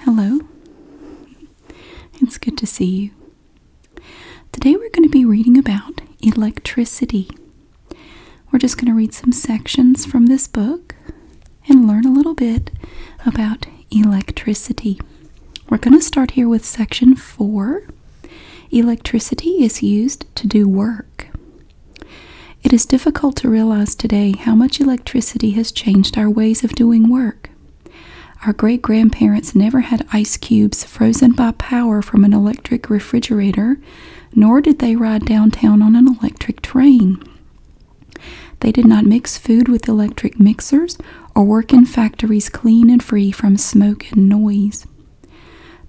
Hello. It's good to see you. Today we're going to be reading about electricity. We're just going to read some sections from this book and learn a little bit about electricity. We're going to start here with section 4. Electricity is used to do work. It is difficult to realize today how much electricity has changed our ways of doing work. Our great grandparents never had ice cubes frozen by power from an electric refrigerator, nor did they ride downtown on an electric train. They did not mix food with electric mixers or work in factories clean and free from smoke and noise.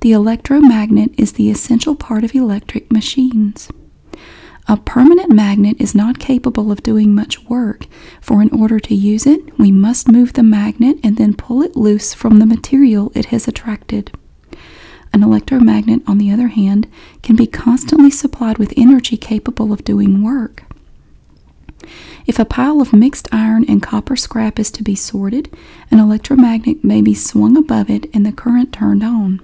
The electromagnet is the essential part of electric machines. A permanent magnet is not capable of doing much work, for in order to use it, we must move the magnet and then pull it loose from the material it has attracted. An electromagnet, on the other hand, can be constantly supplied with energy capable of doing work. If a pile of mixed iron and copper scrap is to be sorted, an electromagnet may be swung above it and the current turned on.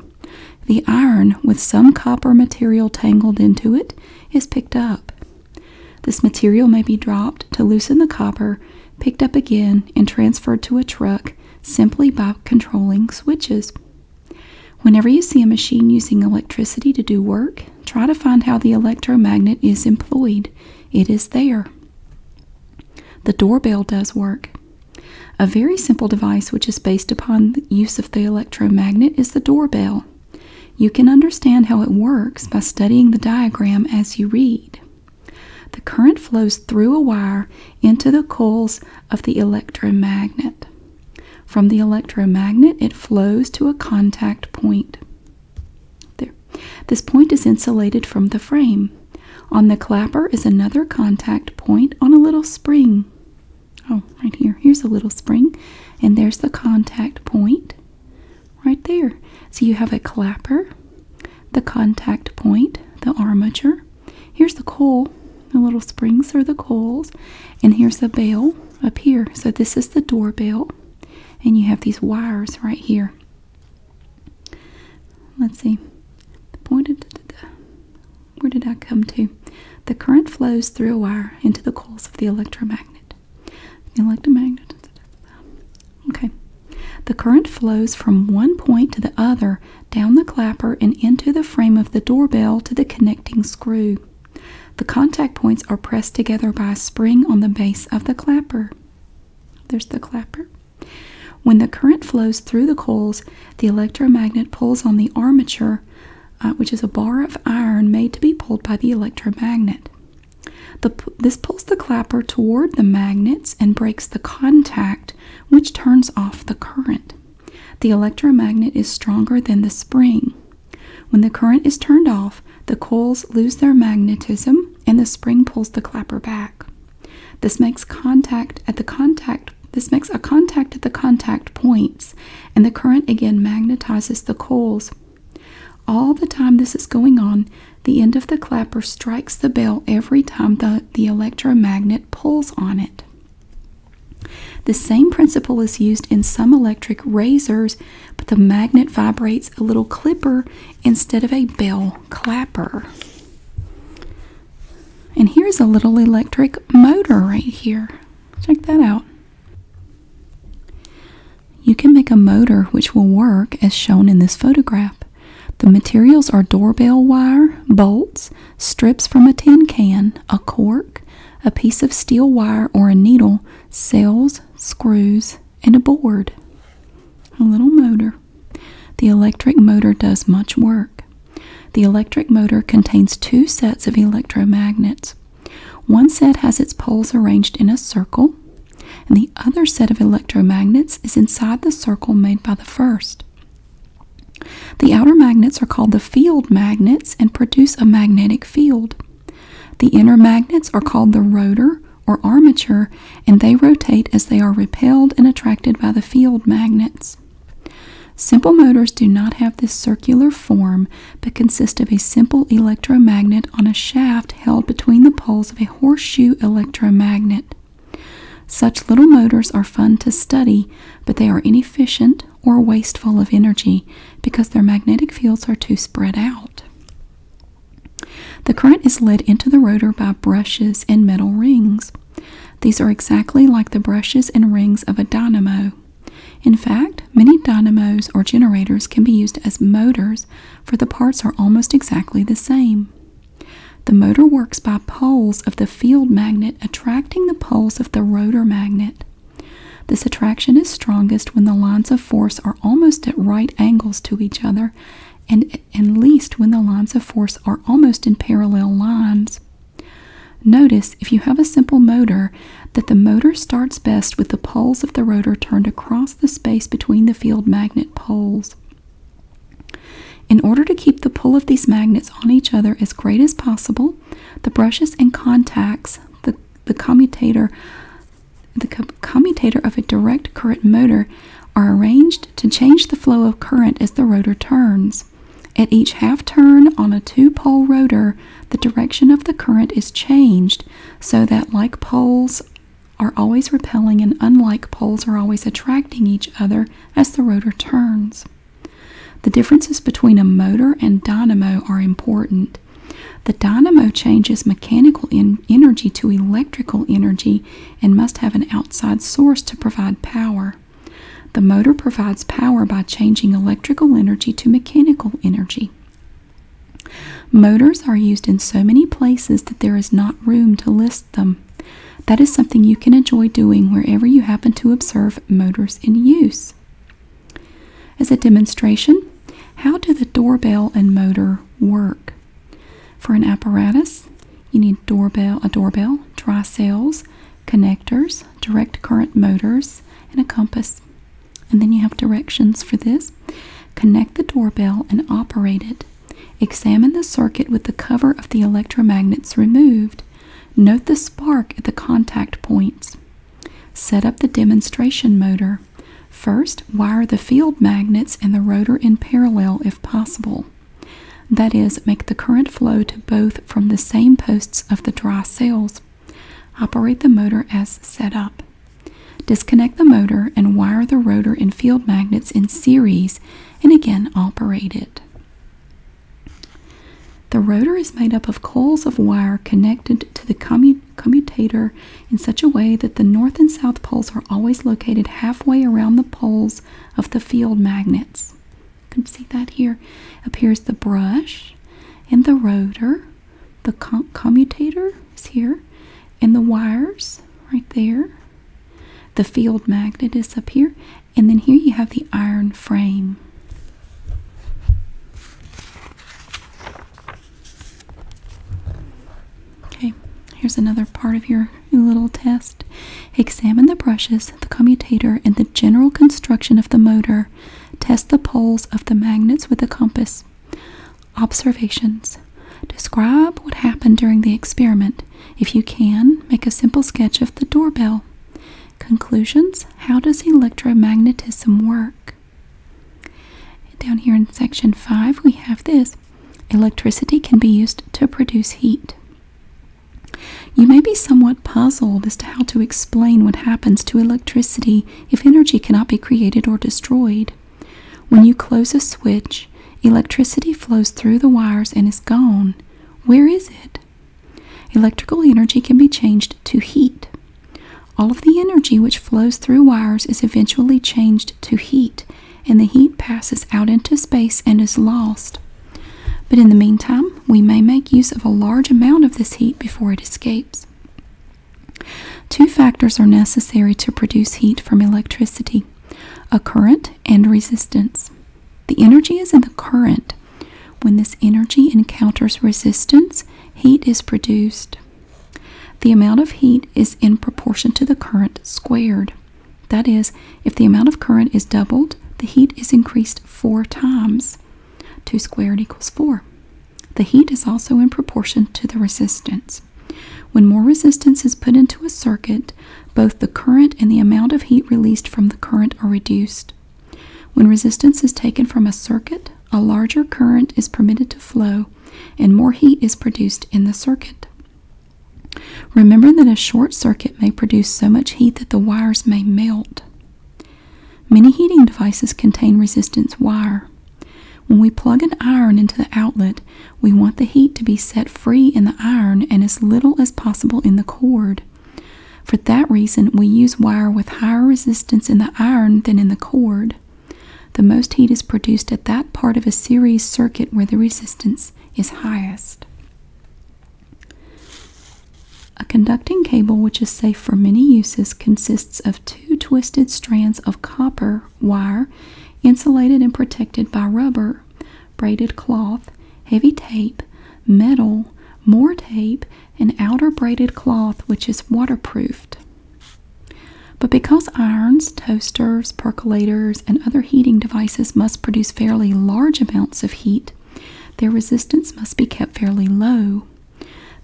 The iron, with some copper material tangled into it, is picked up. This material may be dropped to loosen the copper, picked up again, and transferred to a truck simply by controlling switches. Whenever you see a machine using electricity to do work, try to find how the electromagnet is employed. It is there. The doorbell does work. A very simple device which is based upon the use of the electromagnet is the doorbell. You can understand how it works by studying the diagram as you read. The current flows through a wire into the coils of the electromagnet. From the electromagnet, it flows to a contact point. There. This point is insulated from the frame. On the clapper is another contact point on a little spring. Oh, right here. Here's a little spring, and there's the contact point right there. So you have a clapper, the contact point, the armature. Here's the coil. the little springs are the coils, and here's the bell up here. So this is the door bell, and you have these wires right here. Let's see. The point of where did I come to? The current flows through a wire into the coils of the electromagnet. The electromagnet. Okay. The current flows from one point to the other down the clapper and into the frame of the doorbell to the connecting screw. The contact points are pressed together by a spring on the base of the clapper. There's the clapper. When the current flows through the coils, the electromagnet pulls on the armature, uh, which is a bar of iron made to be pulled by the electromagnet. this pulls the clapper toward the magnets and breaks the contact, which turns off the current. The electromagnet is stronger than the spring. When the current is turned off, the coils lose their magnetism and the spring pulls the clapper back. This makes contact at the contact this makes a contact at the contact points and the current again magnetizes the coils. All the time this is going on, the end of the clapper strikes the bell every time the, the electromagnet pulls on it. The same principle is used in some electric razors, but the magnet vibrates a little clipper instead of a bell clapper. And here's a little electric motor right here. Check that out. You can make a motor which will work as shown in this photograph. The materials are doorbell wire, bolts, strips from a tin can, a cork, a piece of steel wire or a needle, cells, screws, and a board. A little motor. The electric motor does much work. The electric motor contains two sets of electromagnets. One set has its poles arranged in a circle, and the other set of electromagnets is inside the circle made by the first. The outer magnets are called the field magnets and produce a magnetic field. The inner magnets are called the rotor or armature and they rotate as they are repelled and attracted by the field magnets. Simple motors do not have this circular form but consist of a simple electromagnet on a shaft held between the poles of a horseshoe electromagnet. Such little motors are fun to study, but they are inefficient or wasteful of energy because their magnetic fields are too spread out. The current is led into the rotor by brushes and metal rings. These are exactly like the brushes and rings of a dynamo. In fact, many dynamos or generators can be used as motors, for the parts are almost exactly the same. The motor works by poles of the field magnet attracting the poles of the rotor magnet. This attraction is strongest when the lines of force are almost at right angles to each other and and least when the lines of force are almost in parallel lines. Notice, if you have a simple motor, that the motor starts best with the poles of the rotor turned across the space between the field magnet poles. In order to keep the pull of these magnets on each other as great as possible, the brushes and contacts, the, the commutator, the commutator of a direct current motor are arranged to change the flow of current as the rotor turns. At each half turn on a two pole rotor, the direction of the current is changed so that like poles are always repelling and unlike poles are always attracting each other as the rotor turns. The differences between a motor and dynamo are important. The dynamo changes mechanical energy to electrical energy and must have an outside source to provide power. The motor provides power by changing electrical energy to mechanical energy. Motors are used in so many places that there is not room to list them. That is something you can enjoy doing wherever you happen to observe motors in use. As a demonstration, how do the doorbell and motor work? For an apparatus, you need doorbell, a doorbell, dry cells, connectors, direct current motors, and a compass. And then you have directions for this. Connect the doorbell and operate it. Examine the circuit with the cover of the electromagnets removed. Note the spark at the contact points. Set up the demonstration motor. First, wire the field magnets and the rotor in parallel if possible. That is, make the current flow to both from the same posts of the dry cells. Operate the motor as set up. Disconnect the motor and wire the rotor and field magnets in series and again operate it. The rotor is made up of coils of wire connected to the commutator in such a way that the north and south poles are always located halfway around the poles of the field magnets. You can see that here. Appears the brush and the rotor. The commutator is here. And the wires right there. The field magnet is up here. And then here you have the iron frame. Okay, here's another part of your little test. Examine the brushes, the commutator, and the general construction of the motor. Test the poles of the magnets with a compass. Observations. Describe what happened during the experiment. If you can, make a simple sketch of the doorbell. Conclusions. How does electromagnetism work? Down here in section 5, we have this. Electricity can be used to produce heat. You may be somewhat puzzled as to how to explain what happens to electricity if energy cannot be created or destroyed. When you close a switch, electricity flows through the wires and is gone. Where is it? Electrical energy can be changed to heat. All of the energy which flows through wires is eventually changed to heat and the heat passes out into space and is lost. But in the meantime, we may make use of a large amount of this heat before it escapes. Two factors are necessary to produce heat from electricity a current and resistance. The energy is in the current. When this energy encounters resistance, heat is produced. The amount of heat is in proportion to the current squared. That is, if the amount of current is doubled, the heat is increased four times. 2 squared equals 4. The heat is also in proportion to the resistance. When more resistance is put into a circuit, both the current and the amount of heat released from the current are reduced. When resistance is taken from a circuit, a larger current is permitted to flow and more heat is produced in the circuit. Remember that a short circuit may produce so much heat that the wires may melt. Many heating devices contain resistance wire. When we plug an iron into the outlet, we want the heat to be set free in the iron and as little as possible in the cord. For that reason, we use wire with higher resistance in the iron than in the cord. The most heat is produced at that part of a series circuit where the resistance is highest. A conducting cable which is safe for many uses consists of two twisted strands of copper wire insulated and protected by rubber, braided cloth, heavy tape, metal, more tape, and outer braided cloth which is waterproofed. But because irons, toasters, percolators, and other heating devices must produce fairly large amounts of heat, their resistance must be kept fairly low.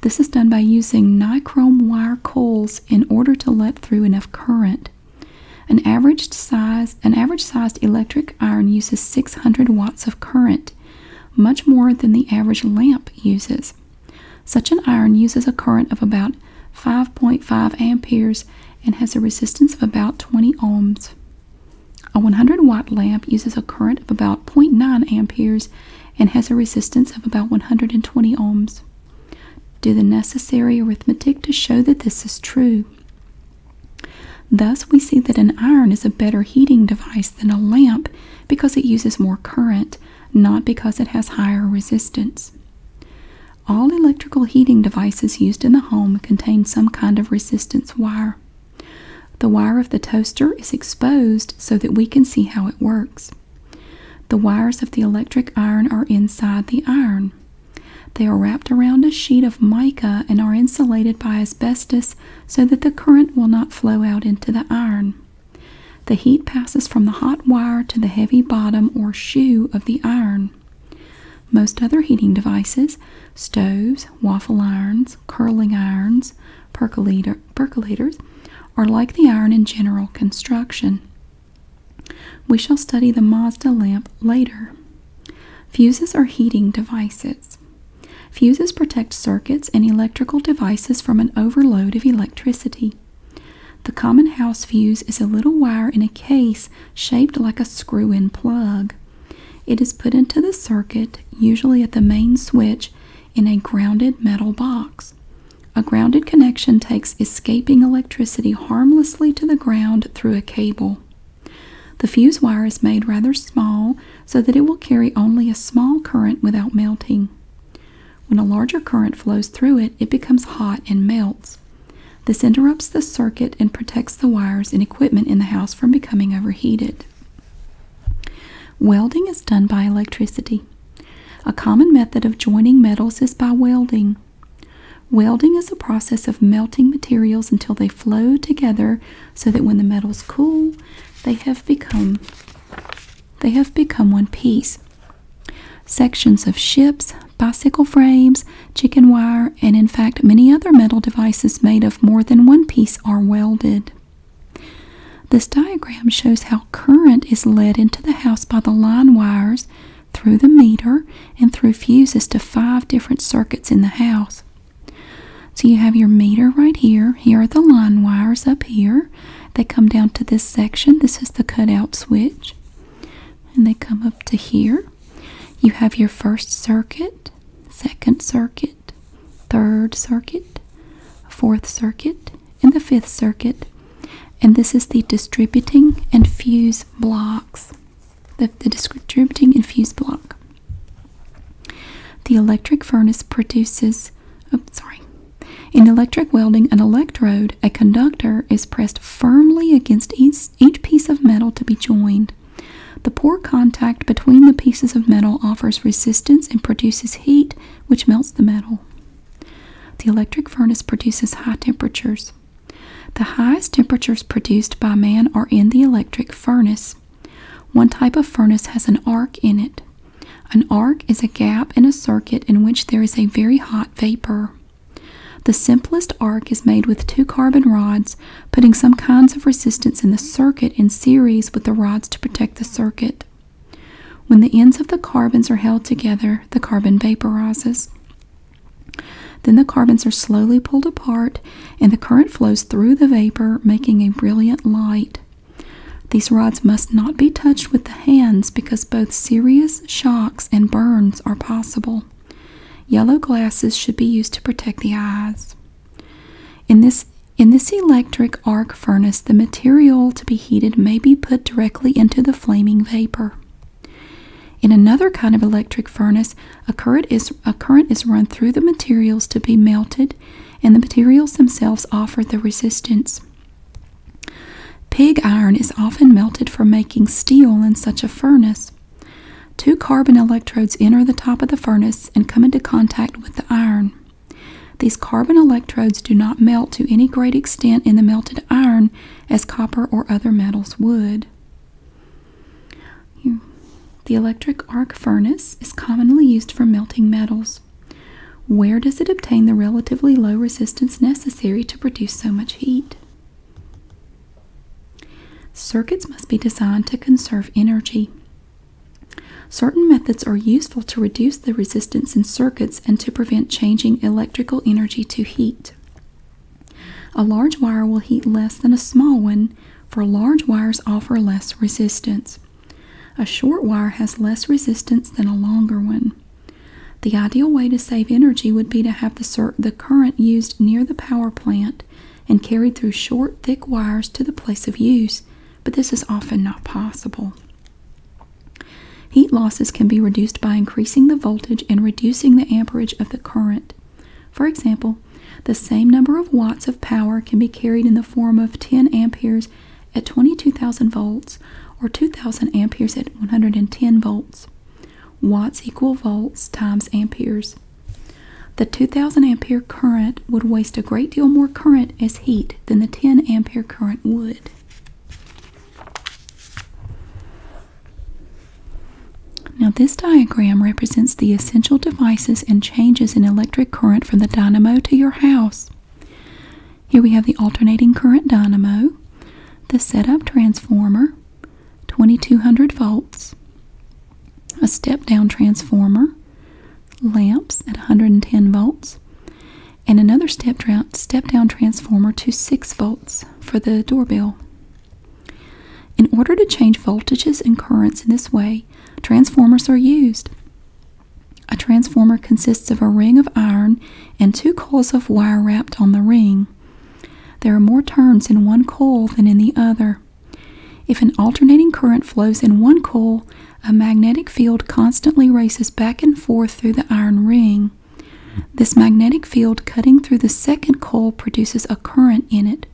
This is done by using nichrome wire coils in order to let through enough current. an average sized electric iron uses 600 watts of current, much more than the average lamp uses. Such an iron uses a current of about 5.5 amperes and has a resistance of about 20 ohms. A 100 watt lamp uses a current of about 0.9 amperes and has a resistance of about 120 ohms. Do the necessary arithmetic to show that this is true. Thus, we see that an iron is a better heating device than a lamp because it uses more current, not because it has higher resistance. All electrical heating devices used in the home contain some kind of resistance wire. The wire of the toaster is exposed so that we can see how it works. The wires of the electric iron are inside the iron. They are wrapped around a sheet of mica and are insulated by asbestos so that the current will not flow out into the iron. The heat passes from the hot wire to the heavy bottom or shoe of the iron. Most other heating devices, stoves, waffle irons, curling irons, percolators, are like the iron in general construction. We shall study the Mazda lamp later. Fuses are heating devices. Fuses protect circuits and electrical devices from an overload of electricity. The common house fuse is a little wire in a case shaped like a screw in plug. It is put into the circuit, usually at the main switch, in a grounded metal box. A grounded connection takes escaping electricity harmlessly to the ground through a cable. The fuse wire is made rather small so that it will carry only a small current without melting. When a larger current flows through it, it becomes hot and melts. This interrupts the circuit and protects the wires and equipment in the house from becoming overheated. Welding is done by electricity. A common method of joining metals is by welding. Welding is a process of melting materials until they flow together so that when the metals cool, they have become they have become one piece. Sections of ships, bicycle frames, chicken wire, and in fact many other metal devices made of more than one piece are welded. This diagram shows how current is led into the house by the line wires through the meter and through fuses to five different circuits in the house. So you have your meter right here. Here are the line wires up here. They come down to this section. This is the cutout switch and they come up to here. You have your first circuit, second circuit, third circuit, fourth circuit, and the fifth circuit. And this is the distributing and fuse blocks. The, the distributing and fuse block. The electric furnace produces, oh, sorry. In electric welding an electrode, a conductor is pressed firmly against each, each piece of metal to be joined. The poor contact between the pieces of metal offers resistance and produces heat, which melts the metal. The electric furnace produces high temperatures. The highest temperatures produced by man are in the electric furnace. One type of furnace has an arc in it. An arc is a gap in a circuit in which there is a very hot vapor. The simplest arc is made with two carbon rods, putting some kinds of resistance in the circuit in series with the rods to protect the circuit. When the ends of the carbons are held together, the carbon vaporizes. Then the carbons are slowly pulled apart and the current flows through the vapor, making a brilliant light. These rods must not be touched with the hands because both serious shocks and burns are possible. Yellow glasses should be used to protect the eyes. In this, in this electric arc furnace, the material to be heated may be put directly into the flaming vapor. In another kind of electric furnace, a current is, a current is run through the materials to be melted, and the materials themselves offer the resistance. Pig iron is often melted for making steel in such a furnace. Two carbon electrodes enter the top of the furnace and come into contact with the iron. These carbon electrodes do not melt to any great extent in the melted iron as copper or other metals would. The electric arc furnace is commonly used for melting metals. Where does it obtain the relatively low resistance necessary? necessary to produce so much heat. Circuits must be designed to conserve energy. Certain methods are useful to reduce the resistance in circuits and to prevent changing electrical energy to heat. A large wire will heat less than a small one, for large wires offer less resistance. A short wire has less resistance than a longer one. The ideal way to save energy would be to have the, current used near the power plant and carried through short, thick wires to the place of use, but this is often not possible. Heat losses can be reduced by increasing the voltage and reducing the amperage of the current. For example, the same number of watts of power can be carried in the form of 10 amperes at 22,000 volts or 2,000 amperes at 110 volts Watts equal volts times amperes. The 2000 ampere current would waste a great deal more current as heat than the 10 ampere current would. Now this diagram represents the essential devices and changes in electric current from the dynamo to your house. Here we have the alternating current dynamo, the setup transformer, 2200 volts, a step down transformer, lamps at 110 volts, and another step down, step down transformer to 6 volts for the doorbell. In order to change voltages and currents in this way, transformers are used. A transformer consists of a ring of iron and two coils of wire wrapped on the ring. There are more turns in one coil than in the other. If an alternating current flows in one coil, a magnetic field constantly races back and forth through the iron ring. This magnetic field cutting through the second coil produces a current in it.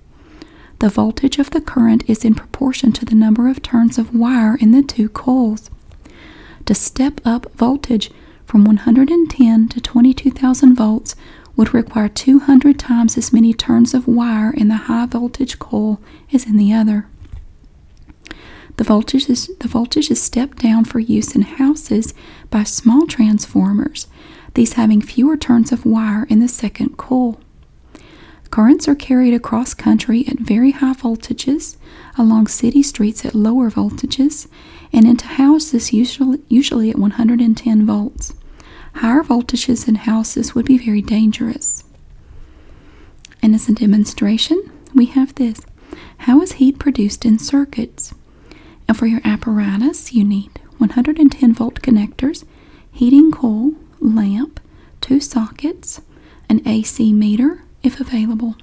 The voltage of the current is in proportion to the number of turns of wire in the two coils. To step up voltage, from 110 to 22,000 volts would require 200 times as many turns of wire in the high voltage coil as in the other. The voltage, is, the voltage is stepped down for use in houses by small transformers, these having fewer turns of wire in the second coil. Currents are carried across country at very high voltages, along city streets at lower voltages, volts, and into houses usually, usually at 110 volts. Higher voltages in houses would be very dangerous. And as a demonstration, we have this. How is heat produced in circuits? And for your apparatus, you need 110 volt connectors, heating coil, lamp, two sockets, an AC meter if available.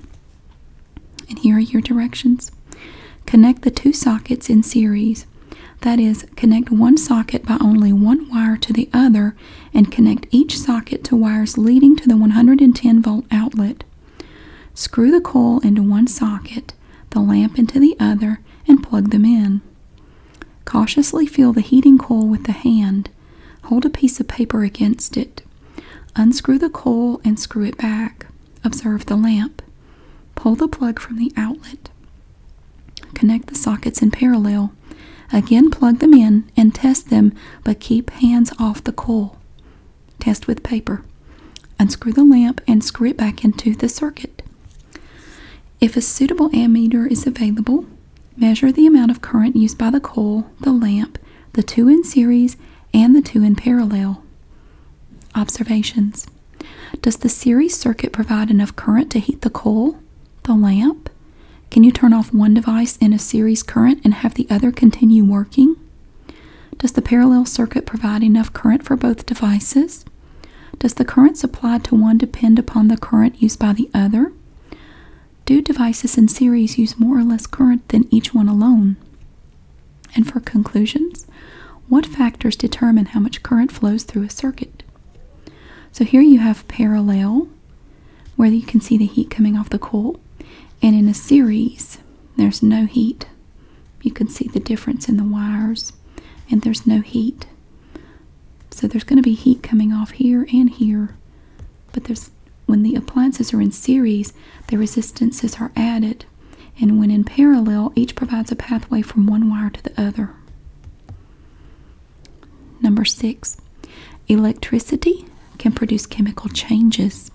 And here are your directions. Connect the two sockets in series. That is, connect one socket by only one wire to the other and connect each socket to wires leading to the 110 volt outlet. Screw the coil into one socket, the lamp into the other, and plug them in. Cautiously feel the heating coil with the hand. Hold a piece of paper against it. Unscrew the coil and screw it back. Observe the lamp. Pull the plug from the outlet. Connect the sockets in parallel. Again, plug them in and test them, but keep hands off the coil. Test with paper. Unscrew the lamp and screw it back into the circuit. If a suitable ammeter is available, measure the amount of current used by the coil, the lamp, the two in series, and the two in parallel. Observations Does the series circuit provide enough current to heat the coal, the lamp? Can you turn off one device in a series current and have the other continue working? Does the parallel circuit provide enough current for both devices? Does the current supplied to one depend upon the current used by the other? Do devices in series use more or less current than each one alone? And for conclusions, what factors determine how much current flows through a circuit? So here you have parallel, where you can see the heat coming off the coil, and in a series, there's no heat. You can see the difference in the wires, and there's no heat. So there's going to be heat coming off here and here, but when the appliances are in series, the resistances are added, and when in parallel, each provides a pathway from one wire to the other. Number six, electricity can produce chemical changes.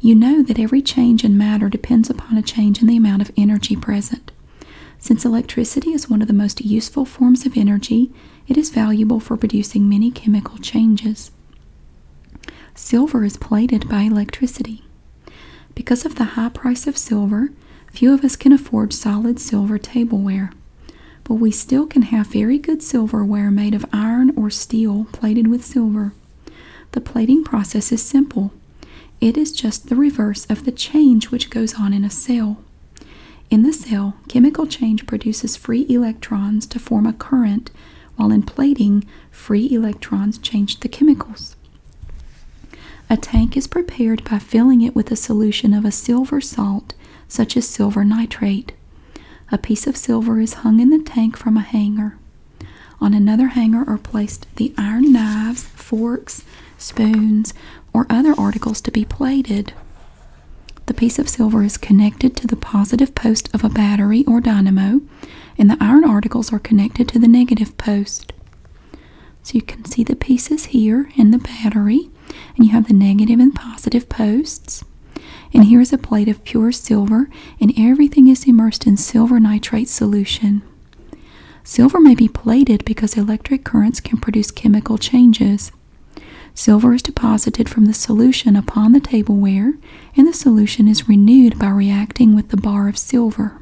You know that every change in matter depends upon a change in the amount of energy present. Since electricity is one of the most useful forms of energy, it is valuable for producing many chemical changes. Silver is plated by electricity. Because of the high price of silver, few of us can afford solid silver tableware, but we still can have very good silverware made of iron or steel plated with silver. The plating process is simple. It is just the reverse of the change which goes on in a cell. In the cell, chemical change produces free electrons to form a current while in plating, free electrons change the chemicals. A tank is prepared by filling it with a solution of a silver salt, such as silver nitrate. A piece of silver is hung in the tank from a hanger. On another hanger are placed the iron knives, forks, spoons, or other articles to be plated. The piece of silver is connected to the positive post of a battery or dynamo, and the iron articles are connected to the negative post. So you can see the pieces here in the battery, and you have the negative and positive posts. And here is a plate of pure silver, and everything is immersed in silver nitrate solution. Silver may be plated because electric currents can produce chemical changes. Silver is deposited from the solution upon the tableware, and the solution is renewed by reacting with the bar of silver.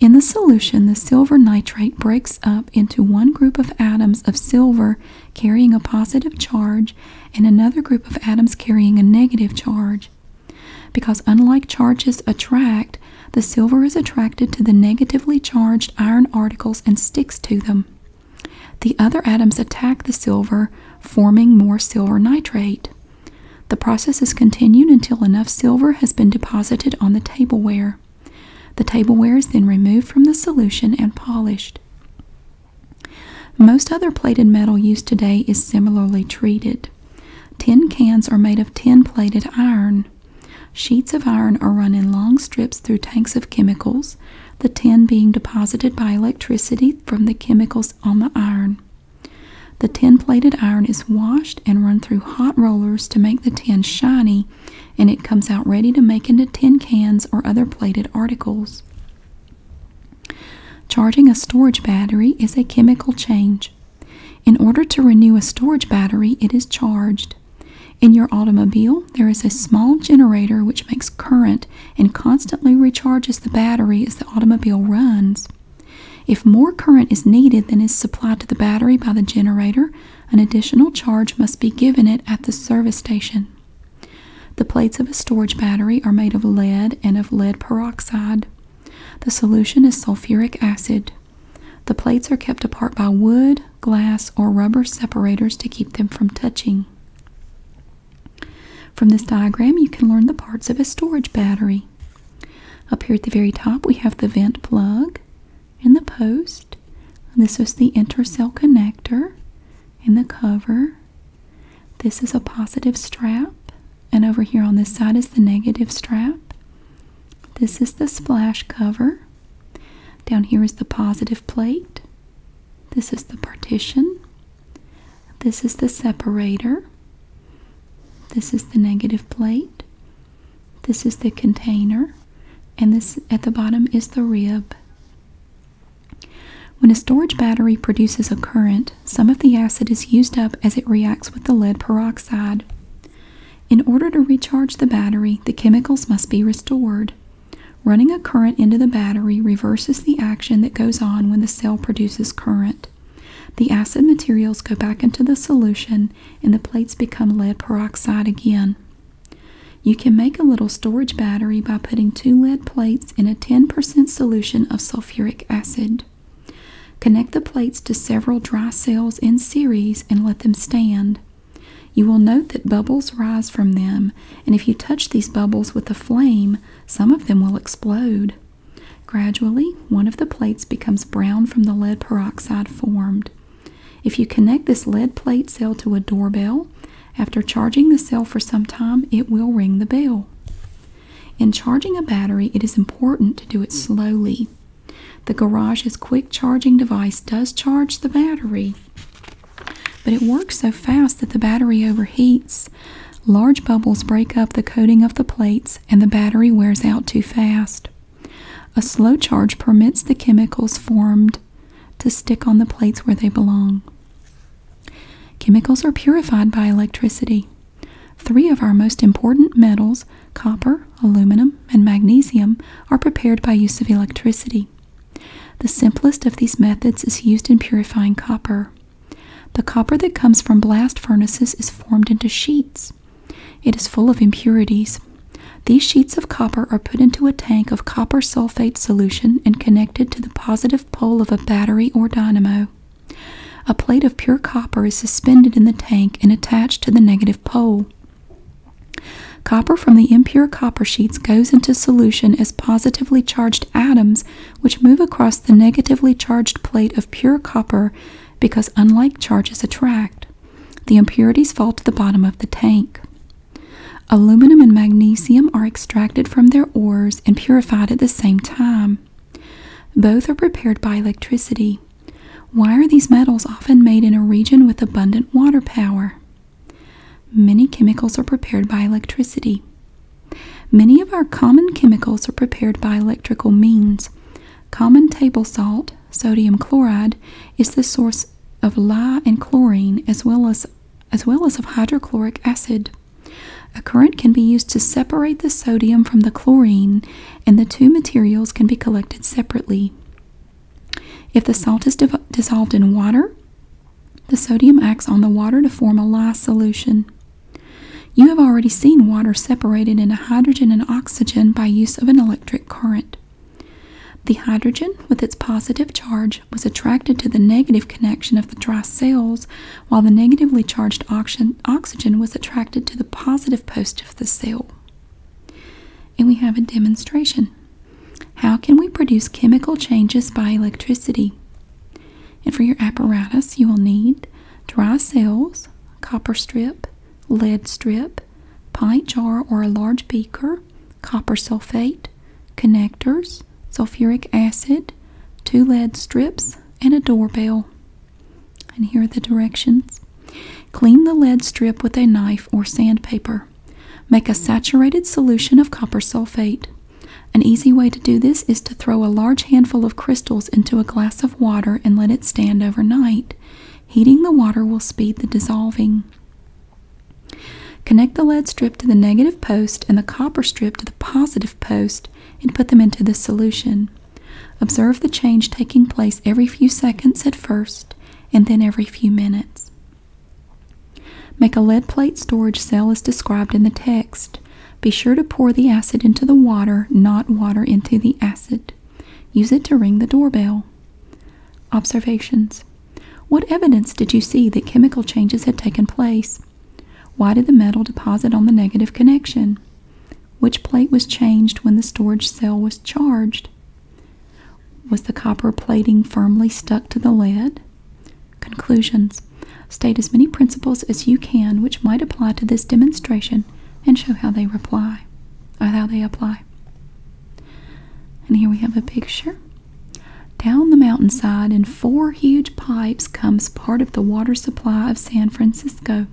In the solution, the silver nitrate breaks up into one group of atoms of silver carrying a positive charge and another group of atoms carrying a negative charge. Because unlike charges attract, the silver is attracted to the negatively charged iron articles and sticks to them. The other atoms attack the silver, forming more silver nitrate. The process is continued until enough silver has been deposited on the tableware. The tableware is then removed from the solution and polished. Most other plated metal used today is similarly treated. Tin cans are made of tin plated iron. Sheets of iron are run in long strips through tanks of chemicals the tin being deposited by electricity from the chemicals on the iron. The tin plated iron is washed and run through hot rollers to make the tin shiny, and it comes out ready to make into tin cans or other plated articles. Charging a storage battery is a chemical change. In order to renew a storage battery, it is charged. In your automobile, there is a small generator which makes current and constantly recharges the battery as the automobile runs. If more current is needed than is supplied to the battery by the generator, an additional charge must be given it at the service station. The plates of a storage battery are made of lead and of lead peroxide. The solution is sulfuric acid. The plates are kept apart by wood, glass, or rubber separators to keep them from touching. From this diagram, you can learn the parts of a storage battery. Up here at the very top, we have the vent plug and the post. this is the intercell connector and the cover. This is a positive strap. And over here on this side is the negative strap. This is the splash cover. Down here is the positive plate. This is the partition. This is the separator. This is the negative plate. This is the container. And this at the bottom is the rib. When a storage battery produces a current, some of the acid is used up as it reacts with the lead peroxide. In order to recharge the battery, the chemicals must be restored. Running a current into the battery reverses the action that goes on when the cell produces current. The acid materials go back into the solution and the plates become lead peroxide again. You can make a little storage battery by putting two lead plates in a 10% solution of sulfuric acid. Connect the plates to several dry cells in series and let them stand. You will note that bubbles rise from them, and if you touch these bubbles with a flame, some of them will explode. Gradually, one of the plates becomes brown from the lead peroxide formed. If you connect this lead plate cell to a doorbell, after charging the cell for some time, it will ring the bell. In charging a battery, it is important to do it slowly. The garage's quick charging device does charge the battery, but it works so fast that the battery overheats. Large bubbles break up the coating of the plates and the battery wears out too fast. A slow charge permits the chemicals formed to stick on the plates where they belong. Chemicals are purified by electricity. Three of our most important metals, copper, aluminum, and magnesium, are prepared by use of electricity. The simplest of these methods is used in purifying copper. The copper that comes from blast furnaces is formed into sheets. It is full of impurities. These sheets of copper are put into a tank of copper sulfate solution and connected to the positive pole of a battery or dynamo. A plate of pure copper is suspended in the tank and attached to the negative pole. Copper from the impure copper sheets goes into solution as positively charged atoms, which move across the negatively charged plate of pure copper because unlike charges attract. The impurities fall to the bottom of the tank. Aluminum and magnesium are extracted from their ores and purified at the same time. Both are prepared by electricity. Why are these metals often made in a region with abundant water power? Many chemicals are prepared by electricity. Many of our common chemicals are prepared by electrical means. Common table salt, sodium chloride, is the source of lye and chlorine as well as as well as of hydrochloric acid. A current can be used to separate the sodium from the chlorine and the two materials can be collected separately. If the salt is dissolved in water, the sodium acts on the water to form a lye solution. You have already seen water separated into hydrogen and oxygen by use of an electric current. The hydrogen, with its positive charge, was attracted to the negative connection of the dry cells, while the negatively charged oxygen was attracted to the positive post of the cell. And we have a demonstration. How can we produce chemical changes by electricity? And for your apparatus, you will need dry cells, copper strip, lead strip, pint jar or a large beaker, copper sulfate, connectors, sulfuric acid, two lead strips, and a doorbell. And here are the directions. Clean the lead strip with a knife or sandpaper. Make a saturated solution of copper sulfate. An easy way to do this is to throw a large handful of crystals into a glass of water and let it stand overnight. Heating the water will speed the dissolving. Connect the lead strip to the negative post and the copper strip to the positive post and put them into the solution. Observe the change taking place every few seconds at first and then every few minutes. Make a lead plate storage cell as described in the text. Be sure to pour the acid into the water, not water into the acid. Use it to ring the doorbell. Observations What evidence did you see that chemical changes had taken place? Why did the metal deposit on the negative connection? Which plate was changed when the storage cell was charged? Was the copper plating firmly stuck to the lead? Conclusions State as many principles as you can which might apply to this demonstration and show how they apply, or how they apply. And here we have a picture. Down the mountainside in four huge pipes comes part of the water supply of San Francisco.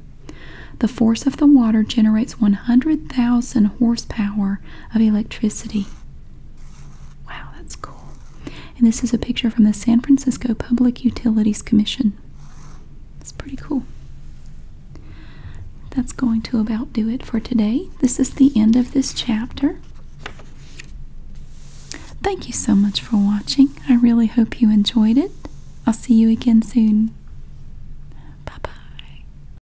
The force of the water generates 100,000 horsepower of electricity. Wow, that's cool. And this is a picture from the San Francisco Public Utilities Commission. It's pretty cool. That's going to about do it for today. This is the end of this chapter. Thank you so much for watching. I really hope you enjoyed it. I'll see you again soon. Bye bye.